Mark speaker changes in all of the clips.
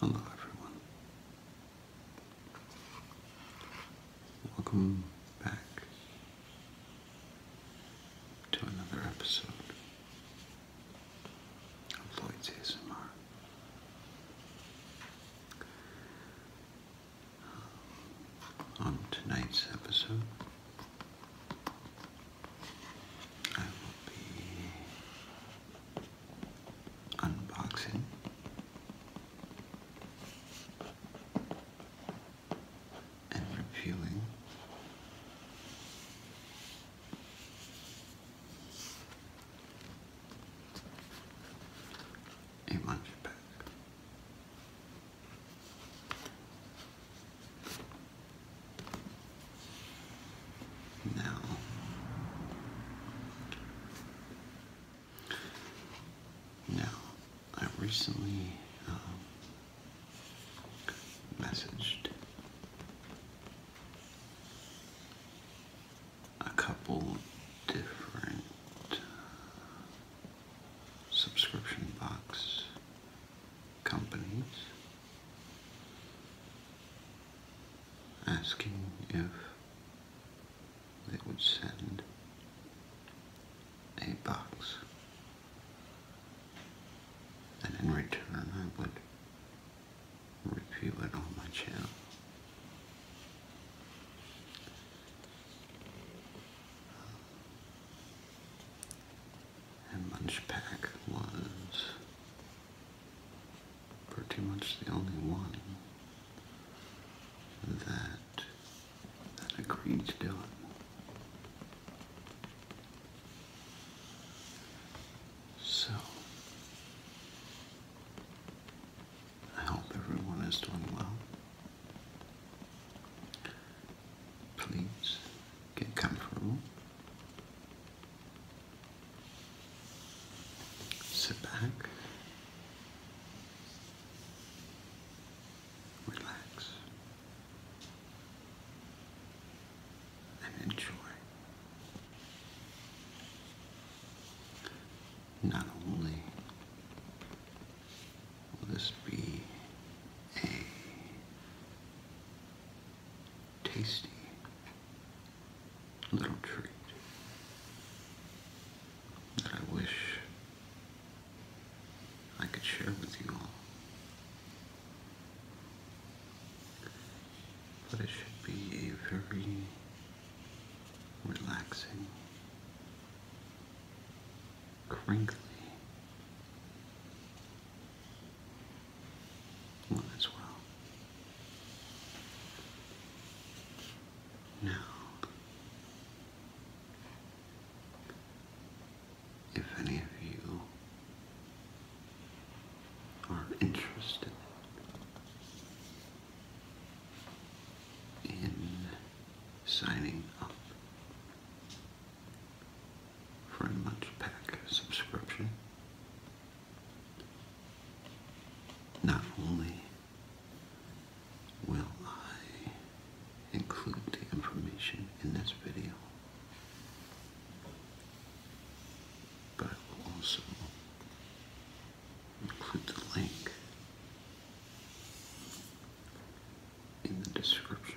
Speaker 1: Hello everyone. Welcome back to another episode of Lloyd's ASMR. Um, on tonight's episode, I will be unboxing and reviewing a lunch bag. Now, now I recently um, messaged a couple different subscription box companies asking if they would send a box and in return I would review it on my channel and Lunch was pretty much the only one that that agreed to do it. So I hope everyone is doing well. Please get comfortable. Sit back. Relax and enjoy not only will this be a tasty little treat that I wish I could share with you all. But it should be a very relaxing, crinkly, one as well. Now, if any of you are interested in signing up for a lunch pack subscription. Not only will I include the information in this video, but I will also include the link in the description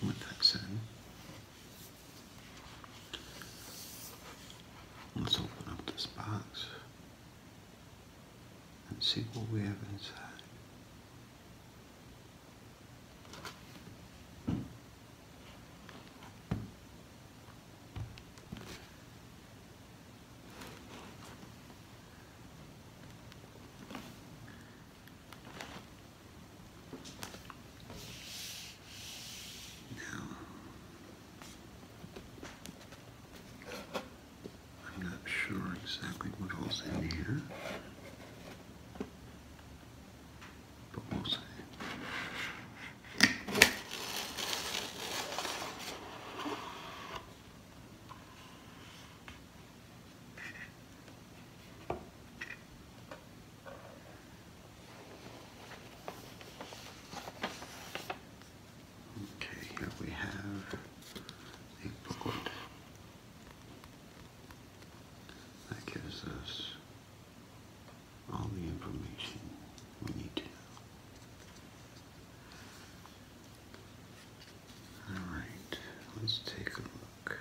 Speaker 1: One that in. Let's open up this box and see what we have inside. I'm not sure exactly what all's in here, but we'll see. Okay, here we have a booklet that gives us all the information we need Alright, let's take a look.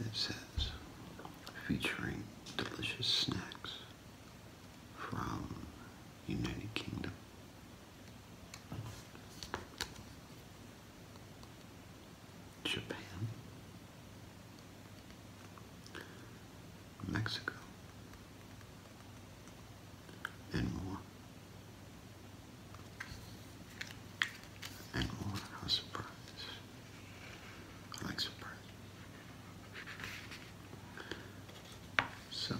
Speaker 1: It says, featuring delicious snacks from United Kingdom. Japan, Mexico, and more. And Lord, I was surprised. I like surprise. So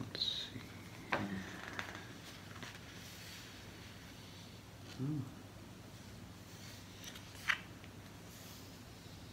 Speaker 1: let's see. Hmm.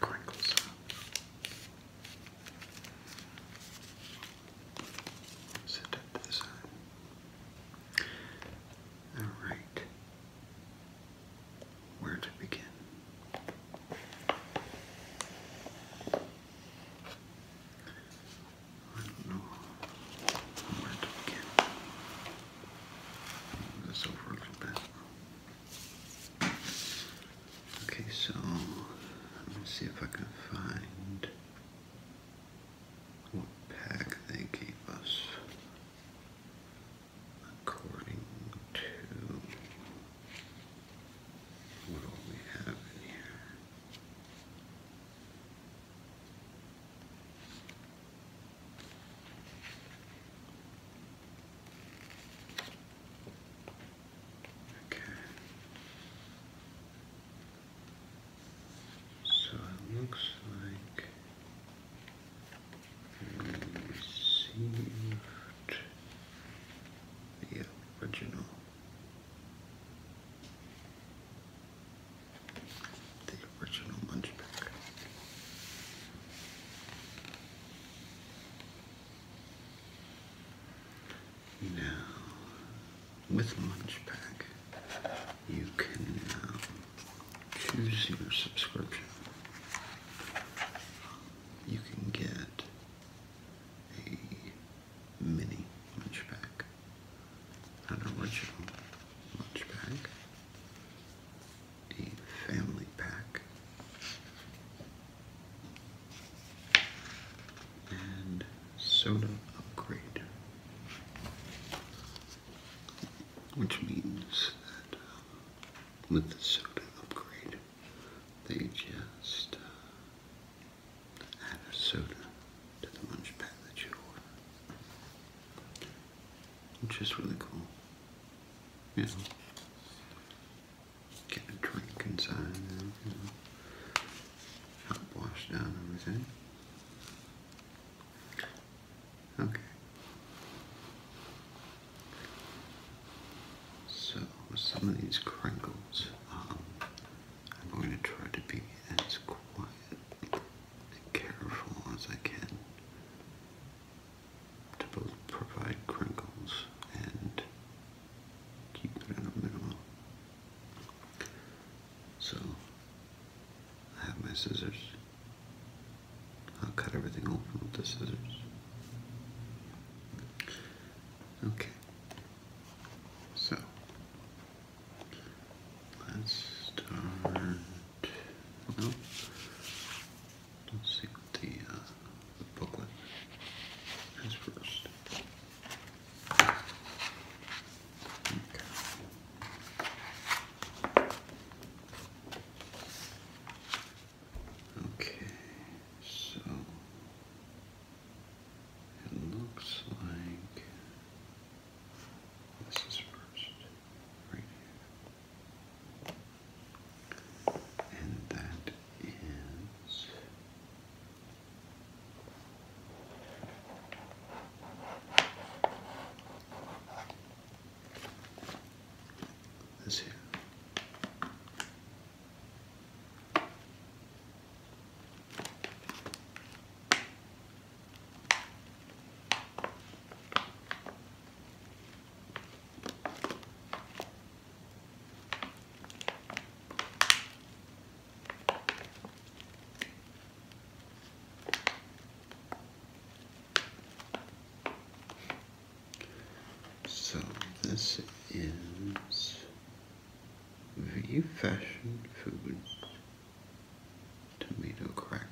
Speaker 1: crinkles up. Set that to the side. Alright. Where to begin? I don't know where to begin. Move this over a little bit. Okay, so let me see if I can find what pack they gave us according to what all we have in here. So it looks like received the original. The original lunch pack. Now, with Munchpack, you can now choose your subscription. You can get a mini Munchpack, an original Munchpack, a family pack. And soda upgrade, which means that um, with the soda upgrade, they just uh, add a soda to the lunch pack that you order, which is really cool you know, get a drink inside, and, you know, help wash down everything. Okay. So, with some of these crinkles, um, I'm going to try to be as quiet and careful as I can to both provide crinkles and keep it at a minimum. So I have my scissors. I'll cut everything open with the scissors. Okay. So let's start. Let's see what the, uh, booklet is first. Okay. so it looks like this is first, right here. And that is this here. So this is V Fashion Food tomato crackers.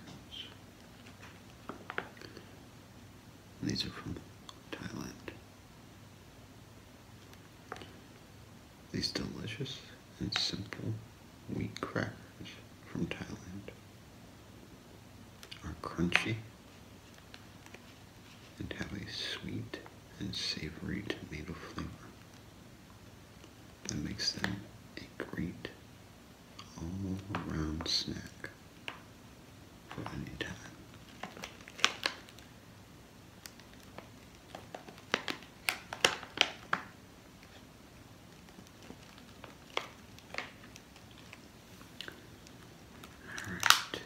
Speaker 1: These are from Thailand. These delicious and simple wheat crackers from Thailand are crunchy and have a sweet and savory tomato flavor that makes them a great all-around snack for a new time. All right.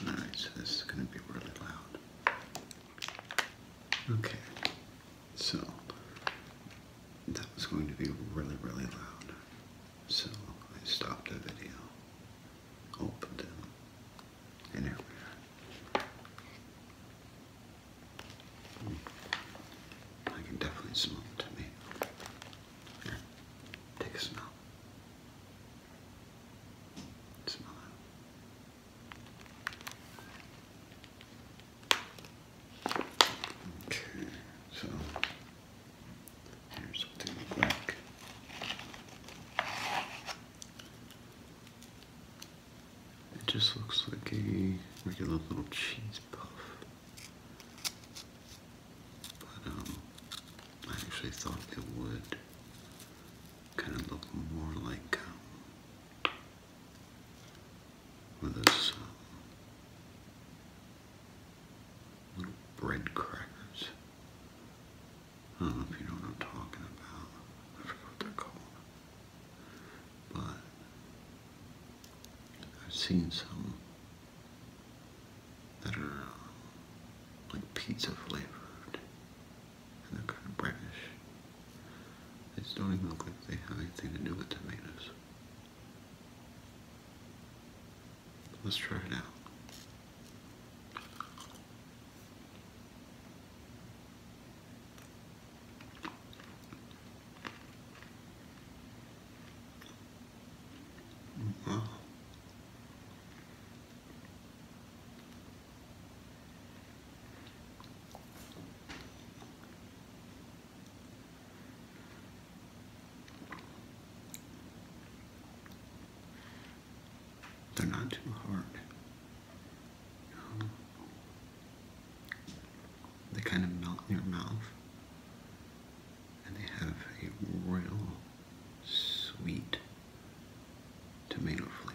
Speaker 1: All right, so this is going to be really loud. Okay. So that was going to be really, really loud. So I stopped the video, opened it, and hmm. I can definitely smell it to me. Here, take a smell. Smell it. Okay, so here's what they It just looks like a regular little cheese puff. But um I actually thought it would kind of look more like um, with this um, bread crackers. I don't know if you know what I'm talking about. I forgot what they're called. But I've seen some that are um, like pizza flavored and they're kind of brownish. They just don't even look like they have anything to do with tomatoes. Let's try it out. Wow. They're not too hard. They kind of melt in your mouth. And they have a real sweet tomato flavor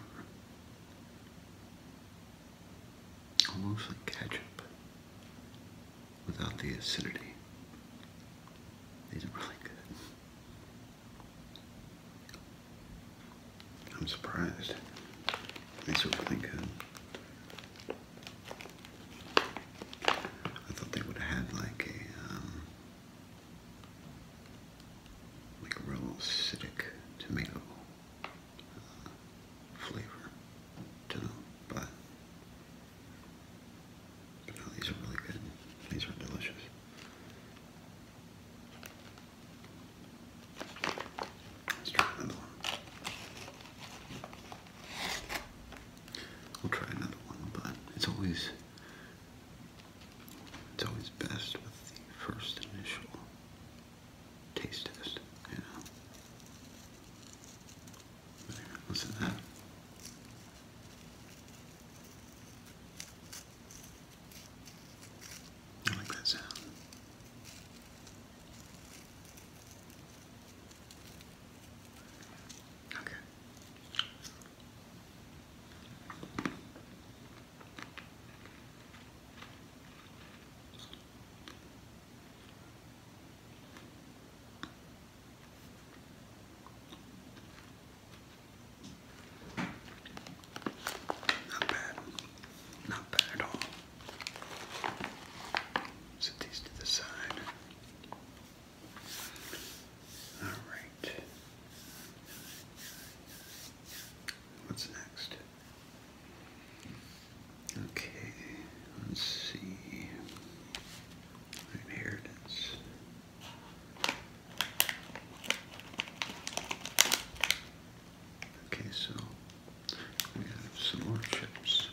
Speaker 1: almost like ketchup without the acidity. These are really good. I'm surprised. These are really good. I thought they would have had like a um, like a real acidic tomato uh, flavor but, these are really good. These are delicious. Let's try another one. We'll try another one, but it's always it's always best with the first initial taste test, you know. Listen to that. like that sound. Okay. Not bad. Not bad at all. Set these to the side. All right. What's next? Okay, let's see. Inheritance. Okay, so we have some more chips.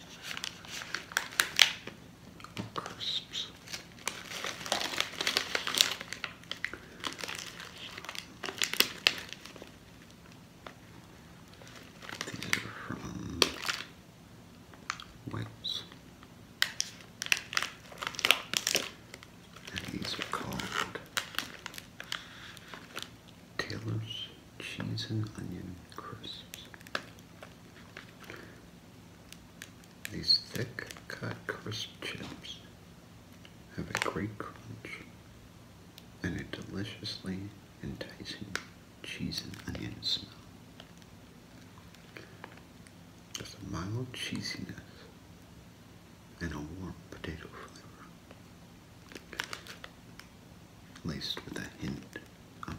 Speaker 1: Oh, crisps. These are from Wales. And these are called Taylor's Cheese and Onion Crisps. These thick cut crisp chips have a great crunch and a deliciously enticing cheese and onion smell. Just a mild cheesiness and a warm potato flavor, laced with a hint of onion.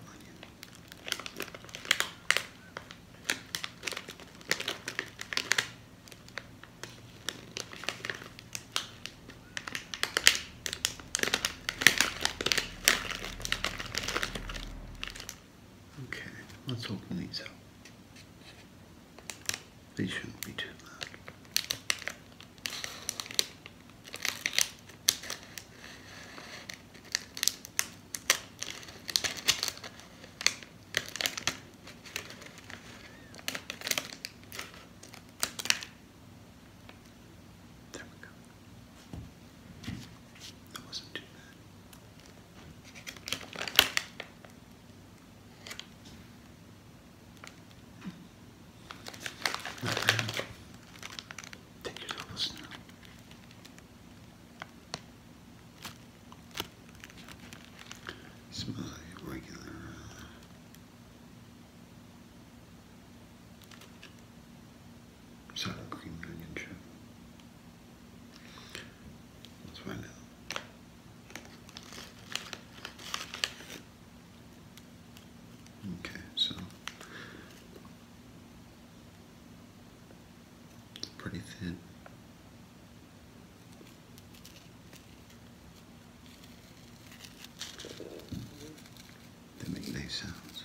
Speaker 1: Okay, let's open these up. They shouldn't be too loud. There we go. That wasn't too bad. Not bad. Thank you for listening. regular uh, Let's find out. Okay, so it's pretty thin. They make nice sounds.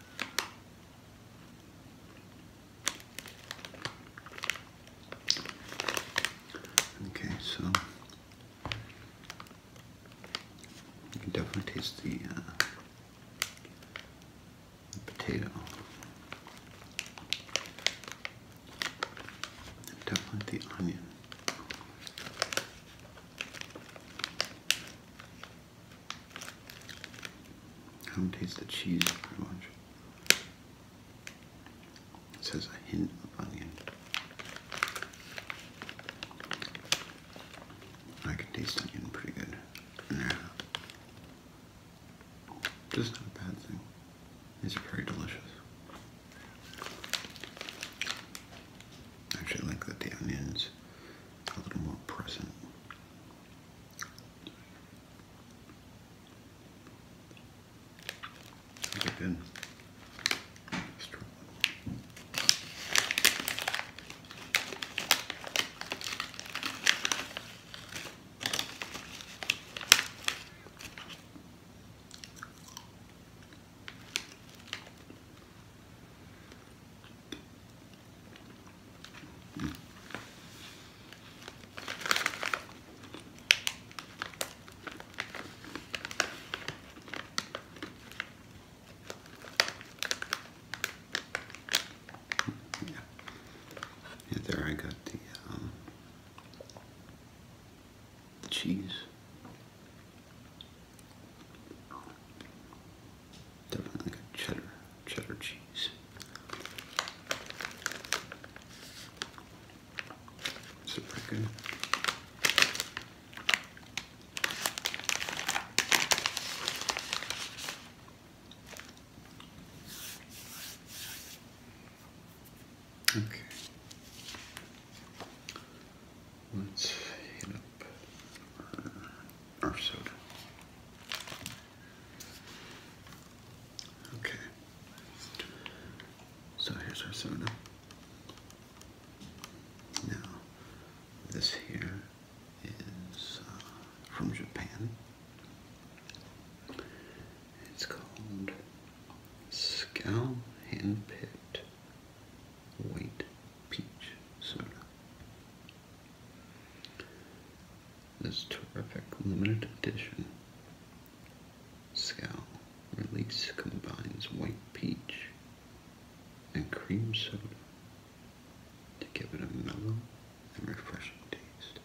Speaker 1: Okay, so you can definitely taste the, uh, potato. And definitely the onion. I don't taste the cheese very much. It says a hint of onion. I can taste onion pretty good. Yeah. Just not a bad thing. These are very delicious. actually like that the onions a little more present. Those are good. Yeah. there I got the um, cheese. Definitely cheddar, cheddar cheese. Is pretty good? Okay. Let's hit up our, uh, soda. Okay, so here's our soda. Now, this here is uh, from Japan. It's called Scow Handpicked White Peach Soda. This terrific limited edition scowl release combines white peach and cream soda to give it a mellow and refreshing taste.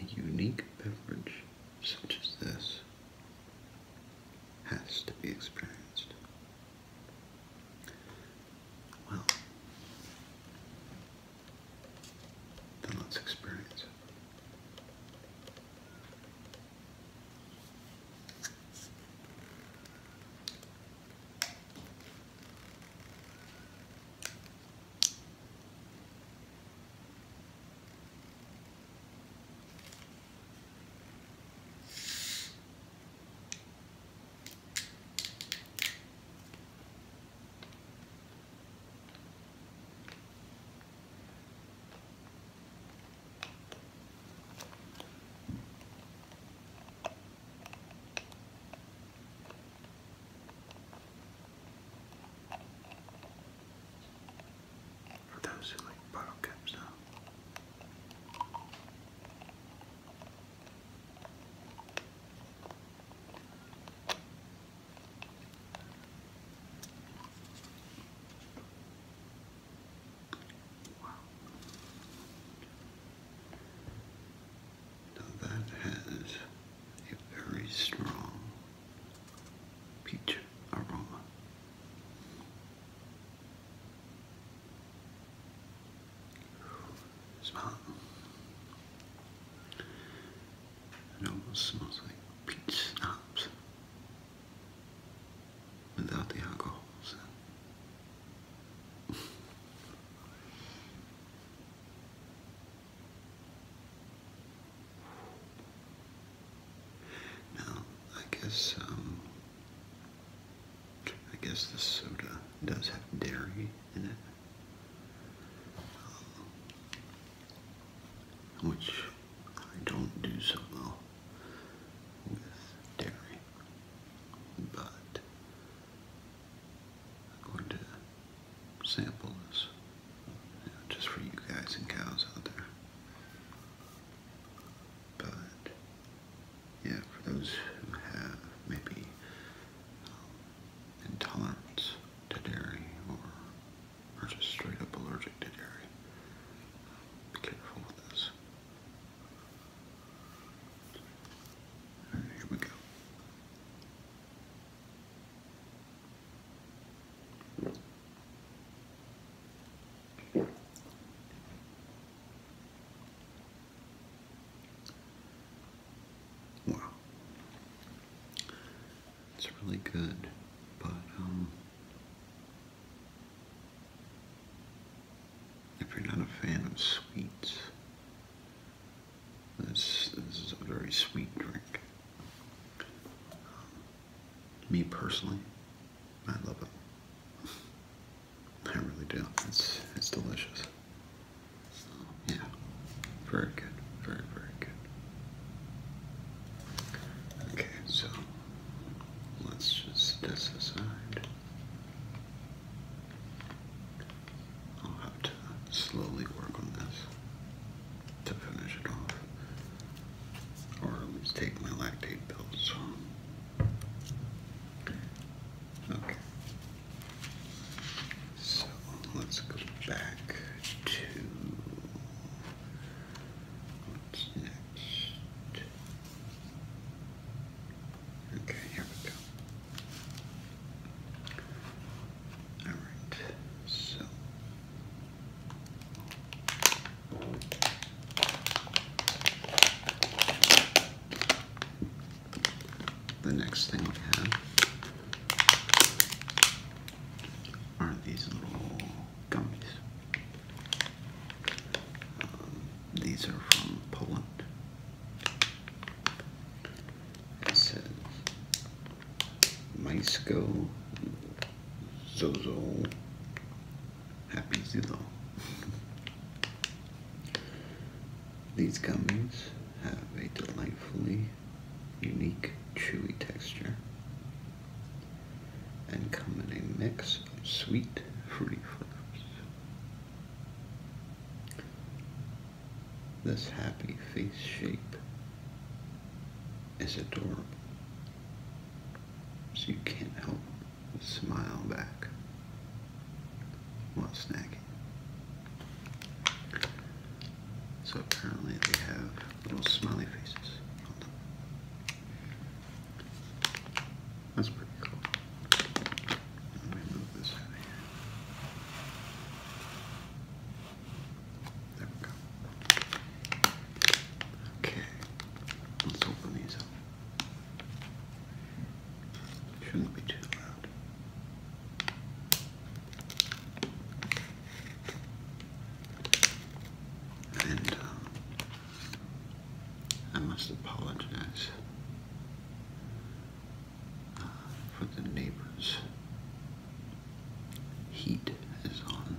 Speaker 1: A unique beverage such as this has to be experienced well, then let's experience for those who like bottle caps now, Wow. Now that has a very strong peach aroma. Smell it. It almost smells like peach without the alcohol. now, I guess um, I guess the soda does have dairy in it. Um, which I don't do so well with dairy. But I'm going to sample this just for you guys and cows out there. But yeah, for those who have maybe um, intolerance to dairy or are just straight up allergic to dairy, be careful with this. here we go. Wow. It's really good, but um, if you're not a fan of sweets, this is a very sweet drink. me personally, I love it. I really do. It's it's delicious. Yeah, very good, very very good. Okay, so let's just set this aside. I'll have to slowly work on this to finish it off, or at least take my lactate pills. Okay. So let's go back to what's next. Okay, here we go. Alright, so the next thing we have are these little gummies. Um, these are from Poland. It says Mysko Zozo Happy Zillow. These gummies have a delightfully unique chewy texture and come in a mix of sweet fruity flavors. This happy face shape is adorable, so you can't help smile back while snacking. So apparently they have little smiley faces on them. That's pretty cool. Let me move this out of here. There we go. Okay, let's open these up. Shouldn't be too loud. And uh, I must apologize uh, for the neighbors. Heat is on,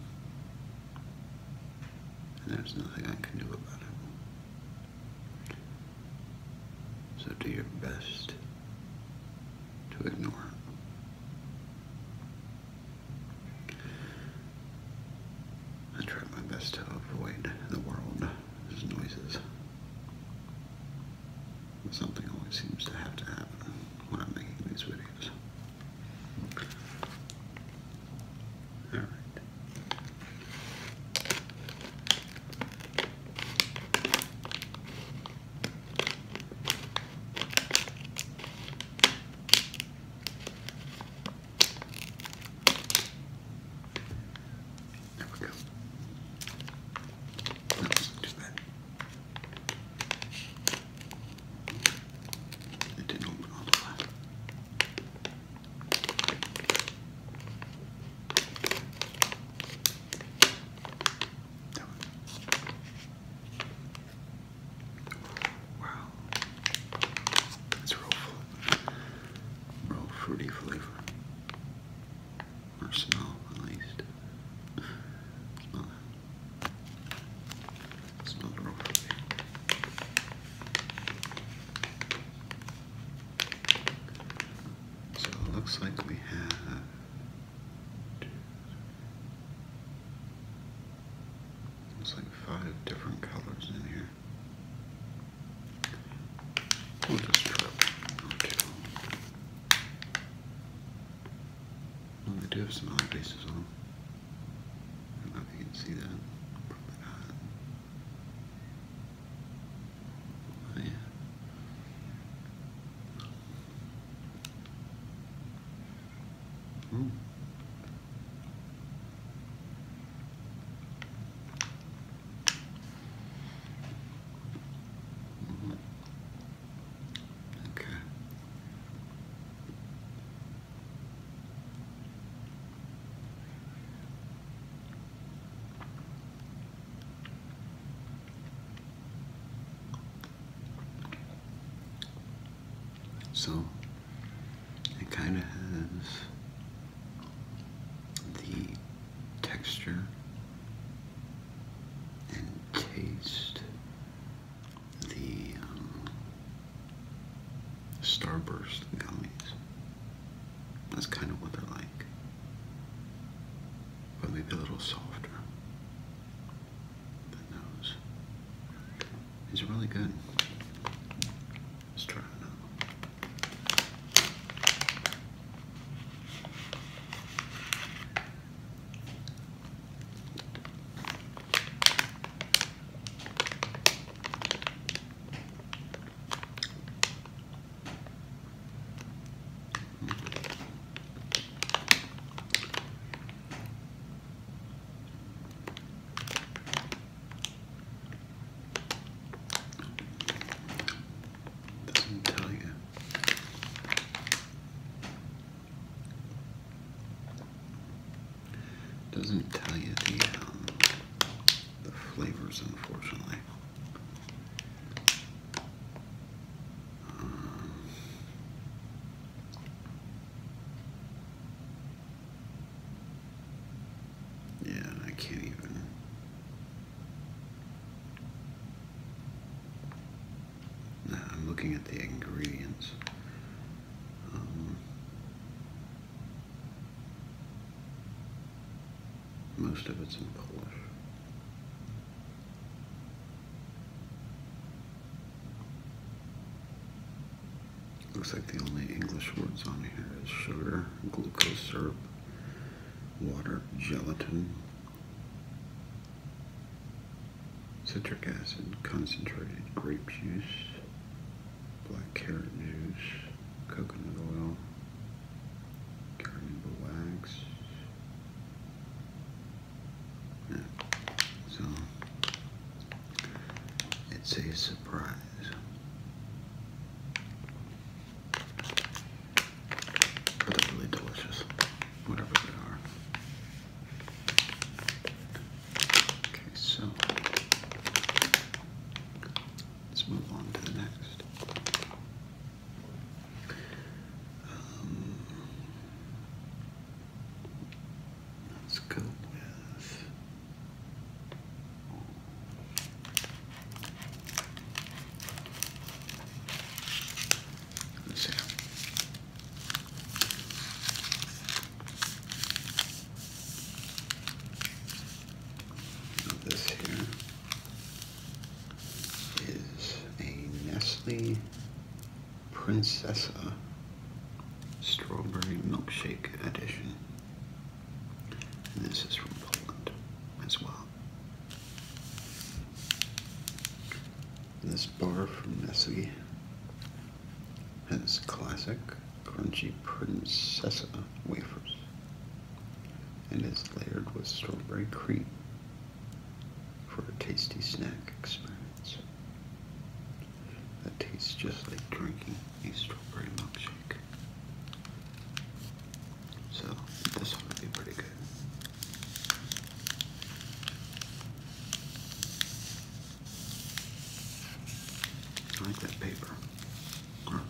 Speaker 1: and there's nothing I can do about it. So do your best to ignore I try my best to avoid the world's noises. something always seems to have to happen when I'm making these videos. All right. There we go. just that. It didn't open Wow. It's real, fruity flavor. Or smell, at least. Smell that. Smells real fruity. So it looks like we have looks like five different colors in here. We'll just drop two. Well, they do have some other pieces on. I don't know if you can see that. Probably not. Oh, yeah. -hmm. Okay. So it kind of has the texture and taste, the um, Starburst gummies. That's kind of what they're like. But maybe a little softer. The nose. These really good. Let's try another doesn't tell you. Doesn't tell you the um, the flavors, unfortunately. Uh, yeah, I can't even. I'm looking at the ingredients. Um, most of it's in Polish. Looks like the only English words on here is sugar, glucose syrup, water, gelatin, citric acid, concentrated grape juice, black carrot news, coconut oil, carnauba wax. So it's a surprise. But they're really delicious, whatever they are. Okay, so let's move on to the next. Um, let's go with. Oh. This here is a Nestle Princessa Strawberry Milkshake Edition. And this is from Poland as well. This bar from Nestle has classic crunchy princessa wafers and is layered with strawberry cream for a tasty snack experience that tastes just like drinking a strawberry milkshake. So this one would be pretty good. I like that paper, or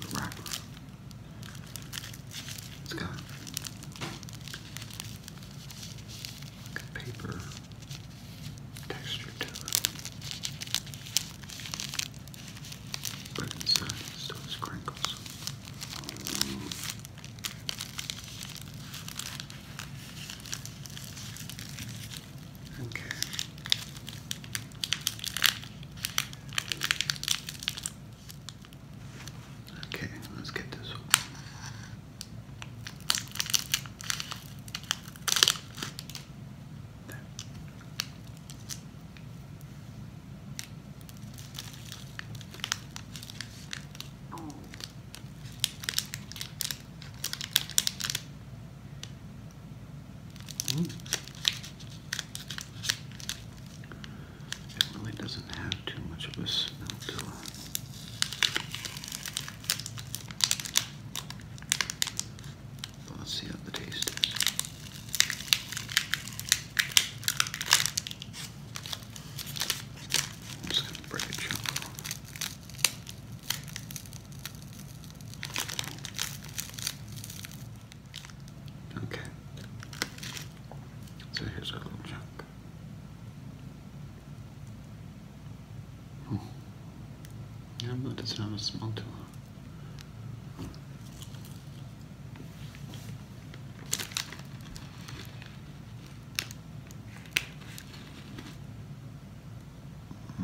Speaker 1: Let's go. like paper texture to it. But inside it still has Okay. Okay, let's get this one. There. It really doesn't have too much of a smell to it. let's see how the taste is. i Okay. So here's our little chunk. Hmm. Yeah, but it's not a small tool. Uh,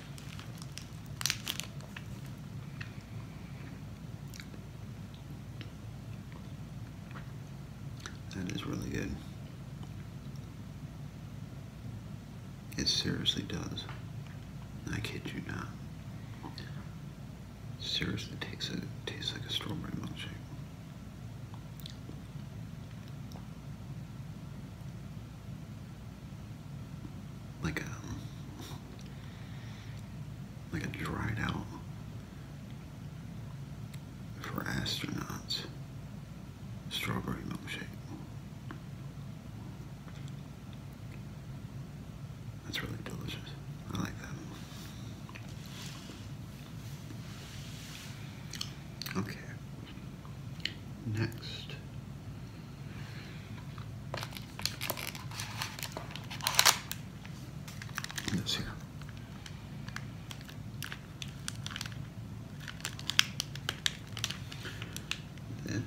Speaker 1: That is really good. It seriously does. I kid you not. Seriously tastes it tastes like a strawberry milkshake like a um, like a dried out for astronauts strawberry milkshake. That's really delicious. I like that. Okay. Next. This here. This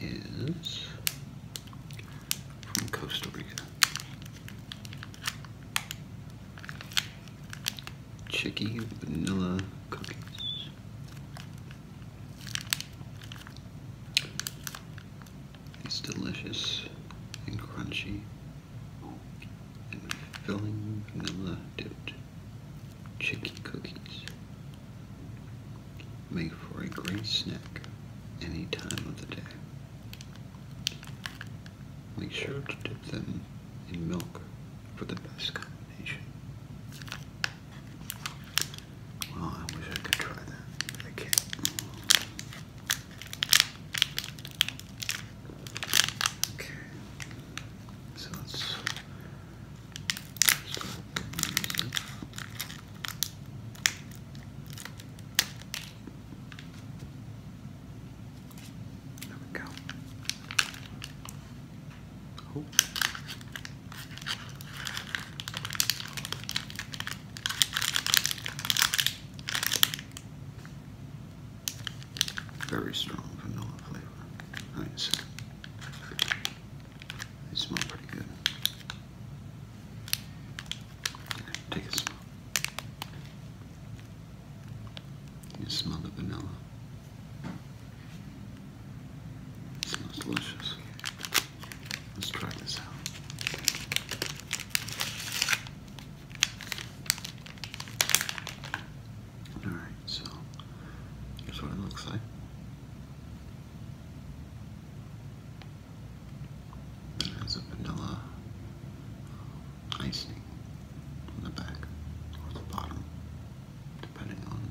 Speaker 1: is from Costa Rica. Chicky vanilla cookies. It's delicious and crunchy and filling vanilla dipped chicky cookies. Make for a great snack any time of the day. Make sure to dip them in milk for the best combination. Well, oh, I wish I could try that. I can't. Okay. So let's There we go. Oh. Very strong vanilla flavor. Nice. They smell pretty good. Take a smell. You smell the vanilla. It Smells delicious. Let's try this out. Alright, so here's what it looks like. It has a vanilla um, icing on the back or the bottom, depending on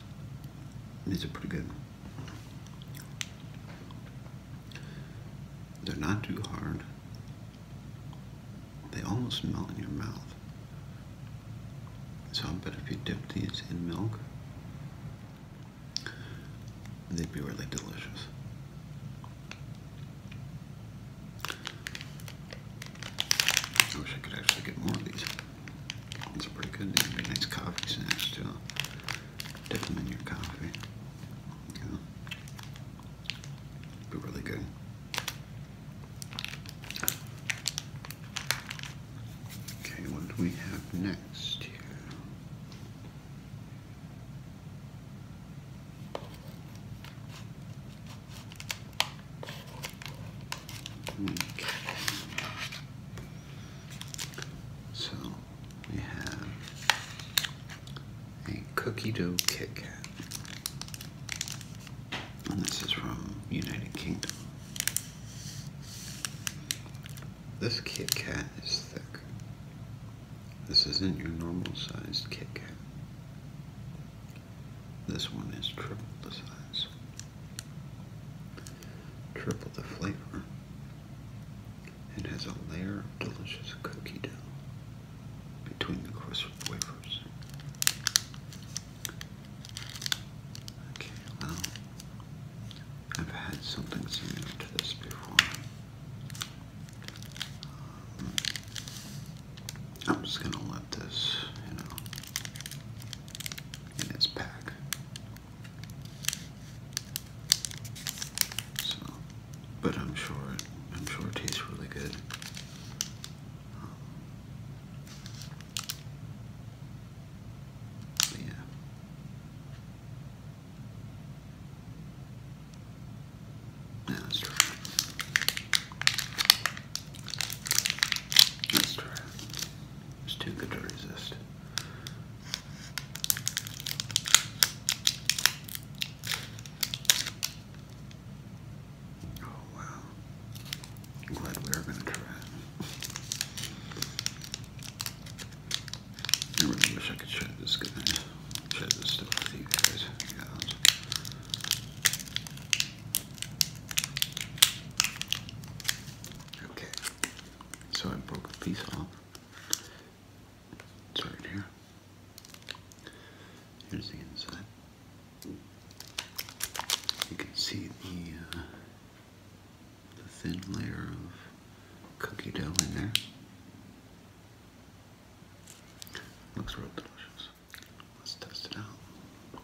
Speaker 1: These are pretty good. They're not too hard. They almost melt in your mouth. So I bet if you dip these in milk, they'd be really delicious. I wish I could actually get more of these. It's pretty good name. They're nice coffee snacks too. Dip them in your coffee. Yeah. Be really good. Okay, what do we have next here? So we have a cookie dough Kit Kat, and this is from United Kingdom. This Kit Kat is thick. This isn't your normal sized Kit Kat. This one is triple the size. Triple the flavor and has a layer of delicious cookie dough between the crisp wafers. Okay, well, I've had something similar to this before. Um, I'm just gonna let this, you know, in this pack. So, but I'm sure I'm sure it tastes really good. Um, yeah, that's true. Nice try. It's too good to resist. Oh wow. I'm glad we were gonna try I really wish I could share this good night. this stuff with you guys. Yeah, Okay, so I broke a piece off. It's right here. Here's the inside. You can see the uh, thin layer of cookie dough in there. Looks real delicious. Let's test it out.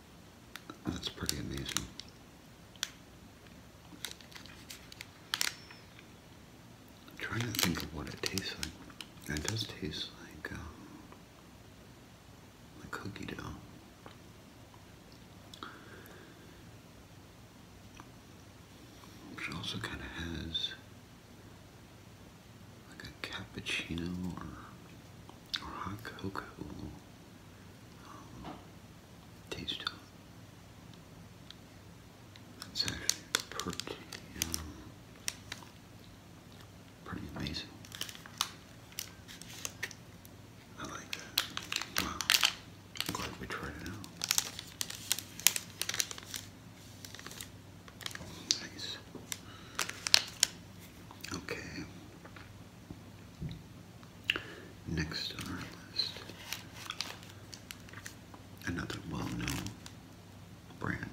Speaker 1: That's pretty amazing. I'm trying to think of what it tastes like. It does taste like, a um, cookie dough. Which also kind of has like a cappuccino or hot cocoa um, taste to actually pretty, um, pretty amazing. I like that. glad we tried it out. Nice. Okay. Next on our list, another well known brand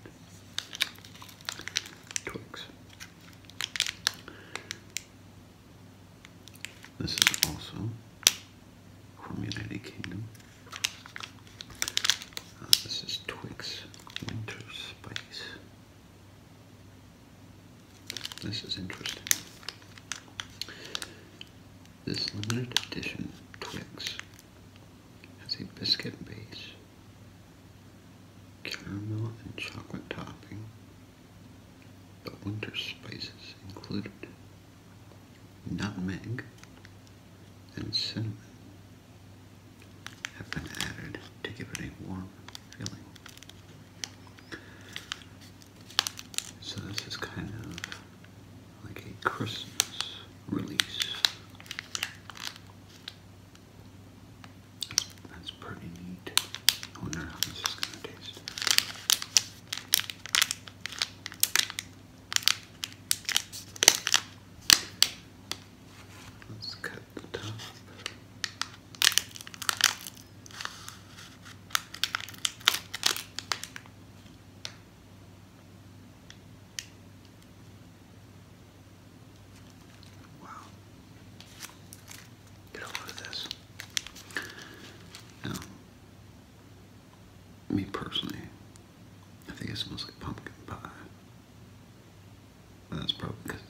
Speaker 1: Twix. This is also from the United Kingdom. Uh, this is Twix Winter Spice. This is interesting. This limited edition Twix has a biscuit base, caramel and chocolate topping, but winter spices included nutmeg and cinnamon have been added to give it a warm feeling. So this is kind of like a Christmas release. That's, pretty neat. wonder how this is going to taste. Let's cut the top. Wow. Get a load of this. Now, me personally, I think it smells like pumpkin pie. that's probably because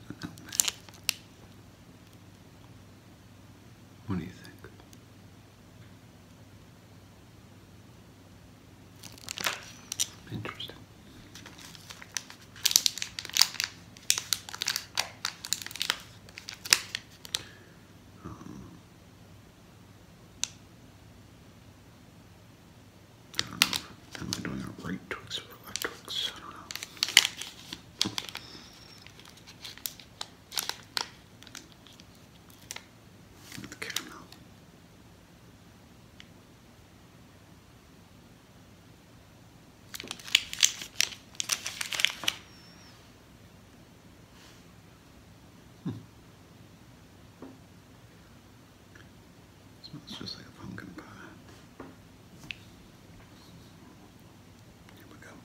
Speaker 1: what do you think? Interesting. Um, I don't know. Am I doing right twix or left twix? I don't know with caramel. Smells hmm. just like pumpkin pie. Here we go.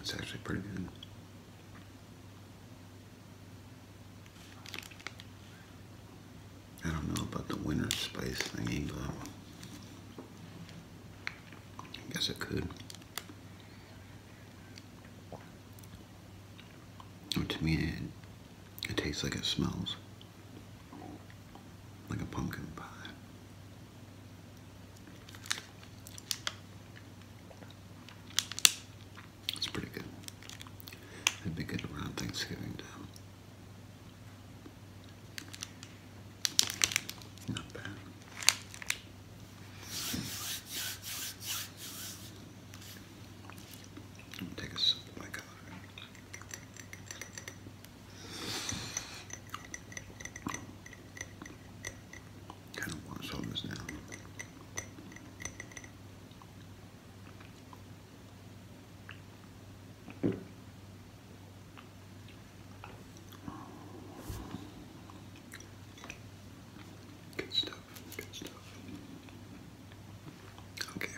Speaker 1: It's actually pretty good. I don't know about the winter spice thingy, but I guess it could. Or oh, to me, it tastes like it smells. Like a pumpkin pie. It's pretty good. It'd be good around Thanksgiving time. Not bad. I'm take a sip my color. Kind of want to slow this down. Good stuff, good stuff. Okay,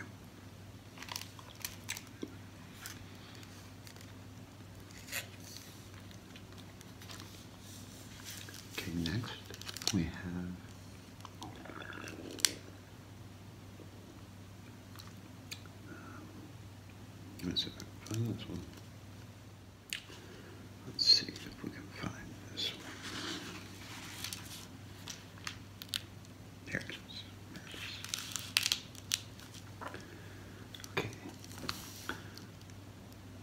Speaker 1: Okay, next we have um, Let's see if we can find this one. Okay.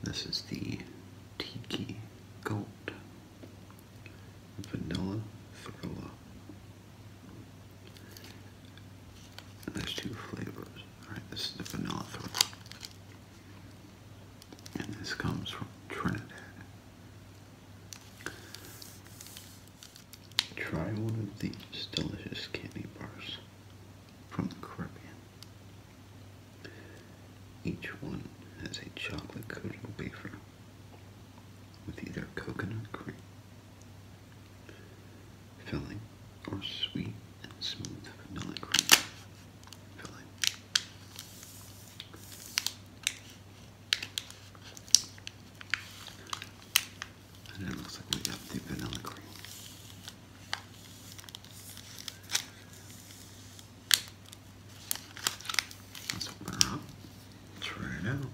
Speaker 1: This is the Tiki Gold Vanilla Thrilla. there's two flavors. Alright, this is the Vanilla Thrilla. And this comes from Trinidad. Try one of these delicious candy bars from the Caribbean. Each one has a chocolate coated wafer with either coconut cream, filling, or sweet and smooth vanilla cream filling. And it looks like we got the vanilla cream. Let's open her up. Try it out.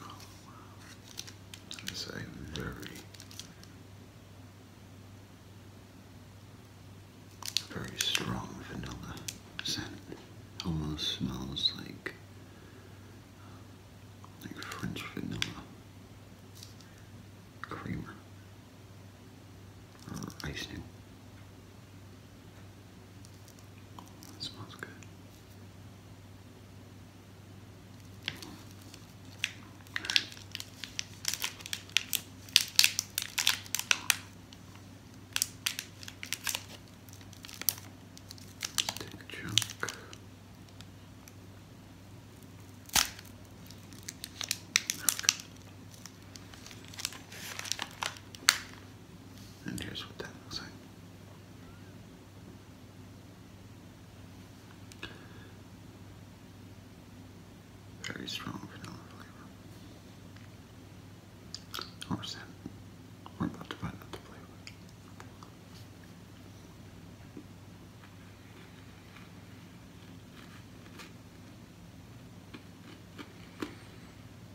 Speaker 1: Oh, wow. That is a very, very strong vanilla scent. Almost smells like like French vanilla creamer or ice that smells good. All right. And here's what that looks like. Very strong vanilla flavor. Or We're about to find out flavor.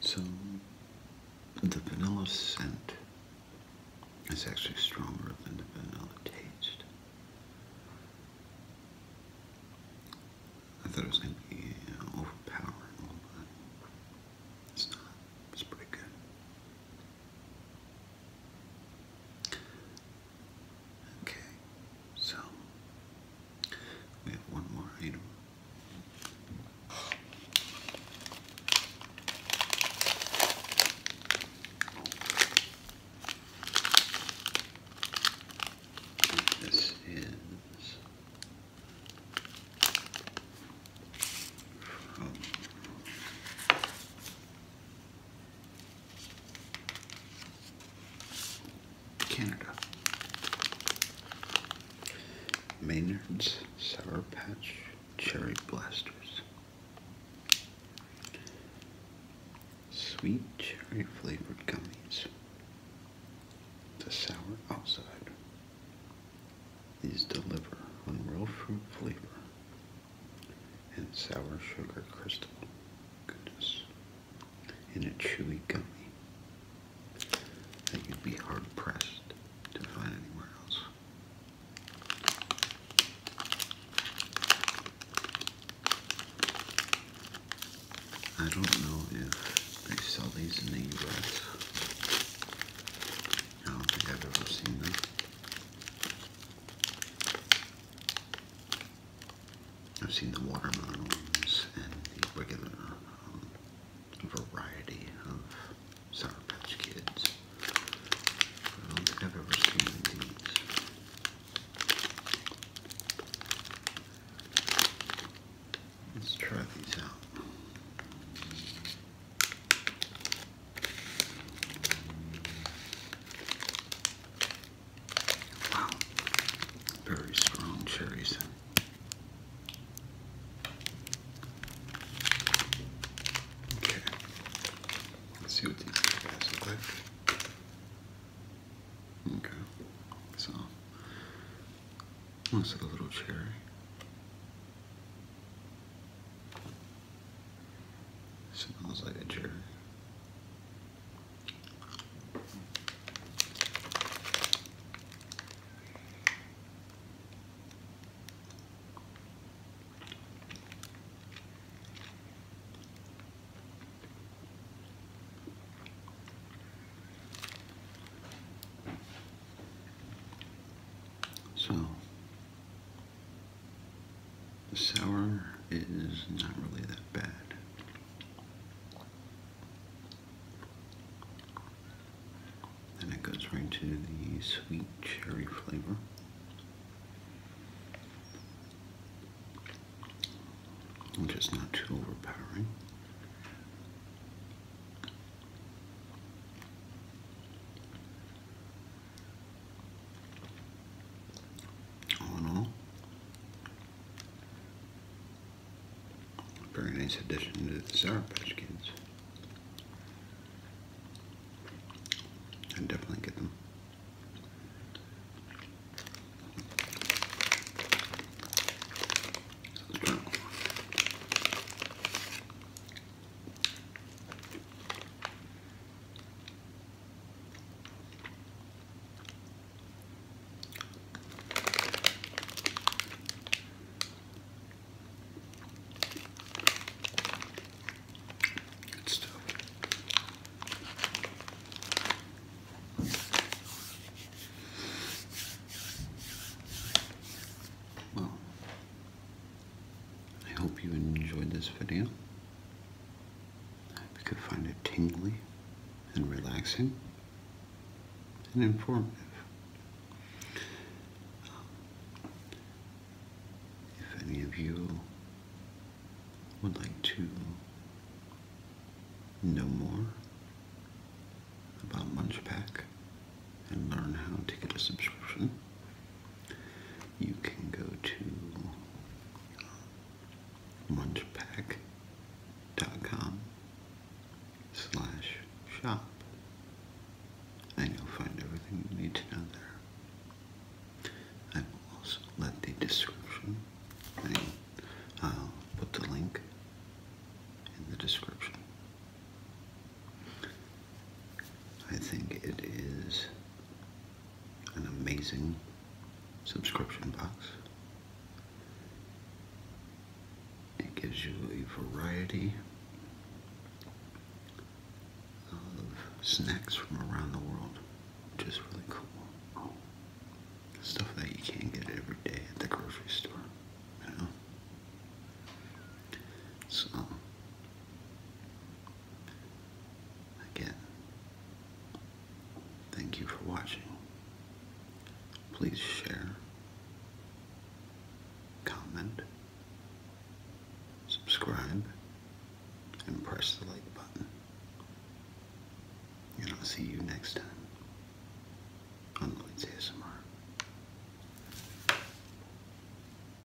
Speaker 1: so the vanilla scent is actually stronger than the vanilla taste. I thought it was going to be uh, overpowering, but it's not. It's pretty good. Okay, so we have one more item. This is Canada. Maynard's Sour Patch Cherry Blasters. Sweet cherry flavored gummies. The sour outside, these deliver on real fruit flavor and sour sugar crystal goodness in a chewy gummy that you'd be hard pressed to find anywhere else. I don't know if they sell these in the I don't think I've ever seen them. I've seen the watermelon ones and the regular um, variety of Sour Patch Kids. I don't think I've ever seen these. Let's try these out. Wow, very strong cherries. Okay, let's see what these guys look like. Okay, so, looks like a little cherry. Smells like a jerk. So the sour is not really that bad. Then it goes right to the sweet cherry flavor. Which is not too overpowering. All in all, very nice addition to the Sour Patch Kids. i definitely get them. Good stuff. Well, I hope you enjoyed this video. I hope you could find it tingly and relaxing and informative. If any of you would like to know more about Munchpack and learn how to get a subscription, you can go to munchpack.com slash shop and you'll find everything you need to know there. I will also let the description and I'll put the link in the description. I think it is an amazing subscription box. It gives you a variety of snacks from around the world, which is really cool. Stuff that you can't get every day at the grocery store, you know? So, Again, thank you for watching. Please share, comment, subscribe, and press the like button. And I'll see you next time on Lloyd's ASMR.